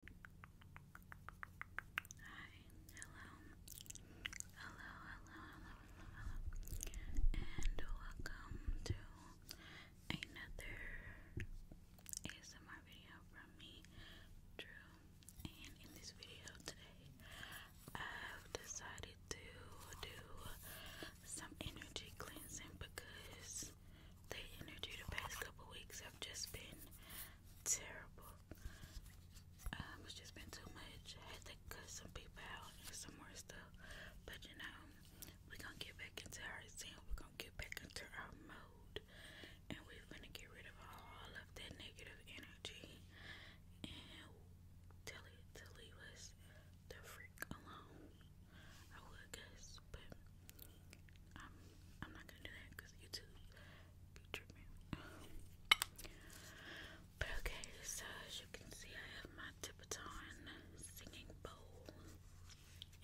Hi, hello, hello, hello, hello, uh, hello, and welcome to another ASMR video from me, Drew. And in this video today, I've decided to do some energy cleansing because the energy the past couple weeks have just been terrible. Um, it's just been too much. had to cut some people out and some more stuff. But you know, we gonna get back into our zen. we gonna get back into our mode. And we gonna get rid of all of that negative energy and tell it to leave us the freak alone. I would guess, but I'm, not gonna do that because YouTube be tripping. But okay, so as you can see, I have my Tipaton singing bowl,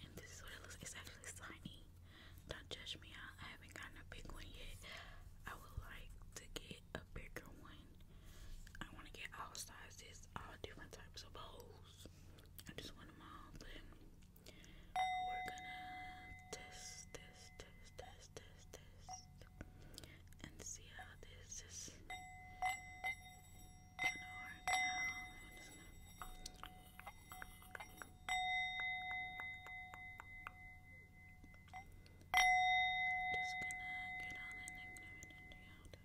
and this is what it looks. It's actually shiny. Don't judge me I haven't gotten a big one yet. I would like to get a bigger one. I want to get all sizes, all different types of bowls. I just want them all, we're gonna test, test, test, test, test, test, and see how this is gonna work out. I'm just gonna. I'm just gonna get all the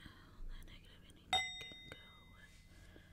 negative energy out, out, out, out, out. All the negative energy can go.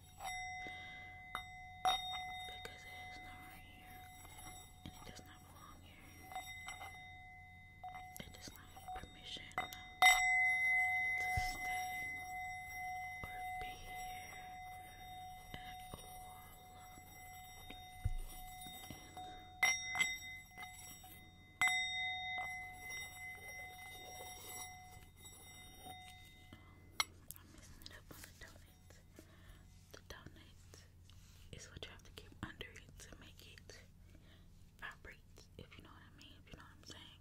Because it is not right here. And it does not belong here. It does not have permission to stay or be here at all i the donut. is what you have to keep under it to make it vibrate, if you know what I mean, if you know what I'm saying.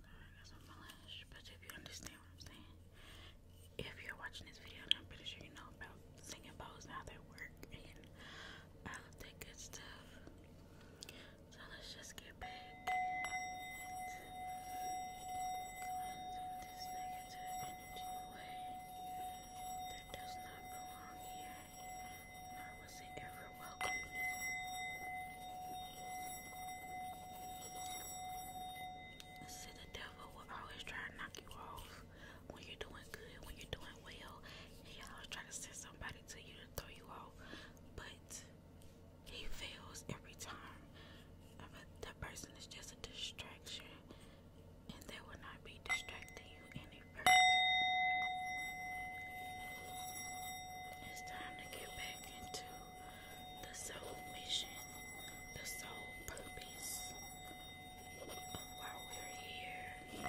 Sorry, got some flash, but if you understand what I'm saying. If you're watching this video, I'm pretty sure you know about singing bowls and how they work and all that good stuff. So let's just get back cleansing this negative energy away that does not belong here, nor was it ever welcome. See, the devil will always try to knock you off when you're doing good, when you're doing well. He always try to send somebody to you to throw you off, but he feels every time. that person is just a distraction, and they will not be distracting you any further. It's time to get back into the soul mission, the soul purpose of we're here.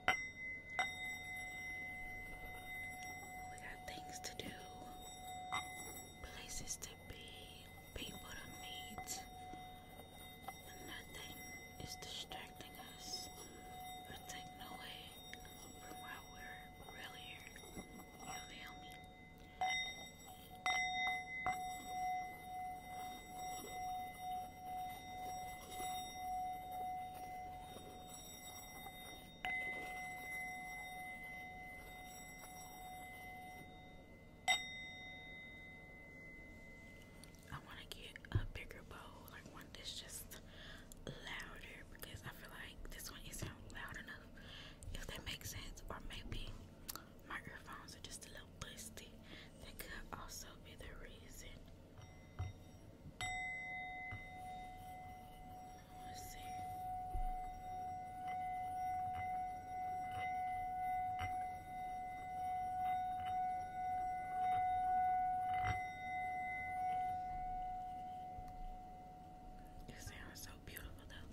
We got things to do, places to be, people to meet, and nothing is distracting us or taking away from why we're really here. You feel me? I want to get a bigger bowl, like one that's just louder, because I feel like this one isn't loud enough, if that makes sense. Or maybe my are just a little busty. That could also be the reason. You sound so beautiful, though.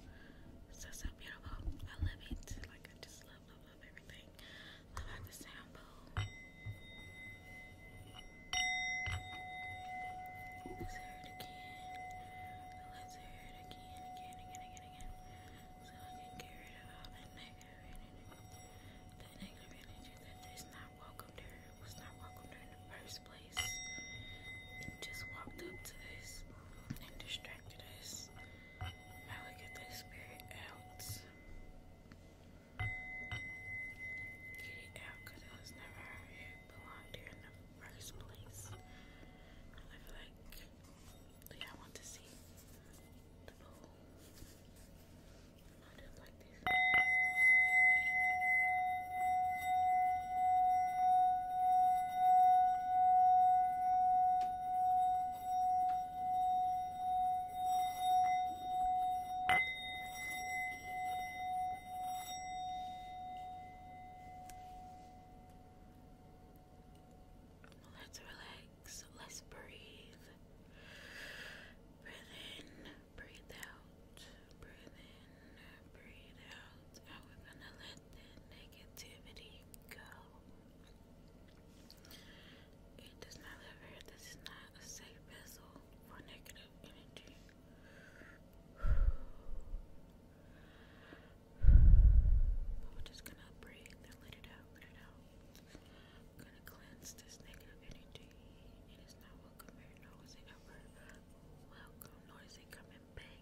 So, so beautiful. I love it. Like, I just love, love, love everything. Love how the sound Let's hear it again. Let's hear it again, again, again, again, again. So I get rid of all that negative energy. That negative energy that is not welcome there. was not welcome there in the first place. just walked up to us and distracted us. Now we get that spirit out. Kitty Alcatraz never belonged here in the first place. I feel like, like I want to see the pool. I just like this. Let's relax. Let's breathe. Breathe in, breathe out, breathe in, breathe out. And we're gonna let the negativity go. It does not live here. This is not a safe vessel for negative energy. But we're just gonna breathe and let it out, let it out. gonna cleanse this negative energy. It is not welcome here, nor is it ever welcome, nor is it coming back.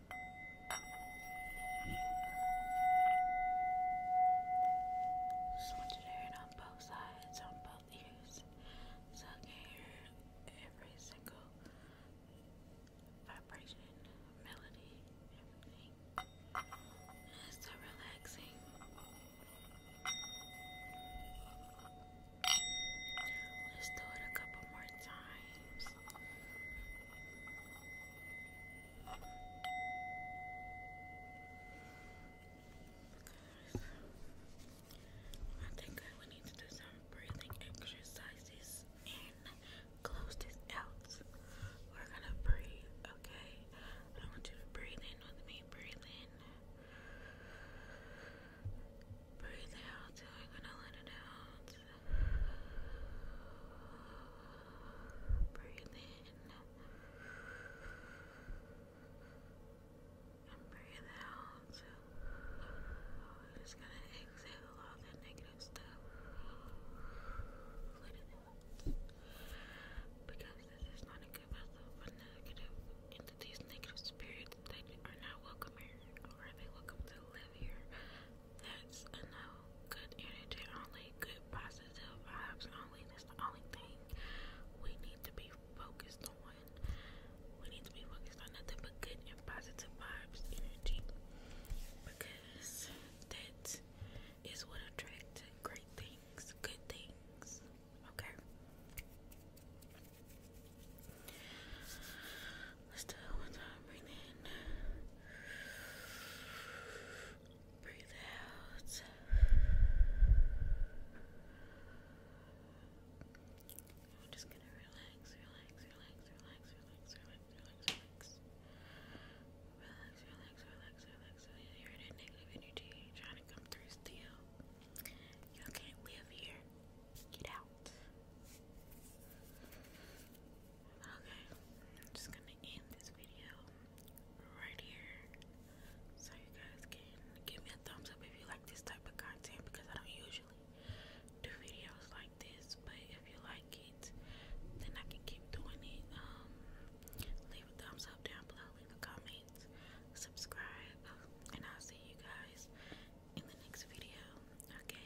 Sponge it on both sides, on both ears. Suck air every single vibration, melody, everything. It's so relaxing. Let's do it a couple more times games. I think I would need to do some breathing exercises and close this out. We're gonna breathe, okay? I want you to breathe in with me. Breathe in. Breathe out. We're gonna let it out. Breathe in and breathe out. just gonna exhale all that negative stuff. Because this is not a good vessel for negative entities, negative spirits that are not welcome here, or they welcome to live here that's a no. Good energy only, good positive vibes only. That's the only thing we need to be focused on. We need to be focused on nothing but good and positive vibes energy because that is what attracts great things, good things. Okay. Let's do it one time. Breathe in. Breathe out. I'm just gonna relax, relax, relax, relax, relax, relax, relax, relax. Relax, relax, relax, relax. you're in that negative energy trying to come through still. You can't live here. Get out. Okay, I'm just gonna end this video right here so you guys can give me a thumbs up if you like this type of content because I don't usually do videos like this, but if you like it, then I can keep doing it. Um, leave a thumbs up down below, leave a comment, subscribe, and I'll see you guys in the next video. Okay,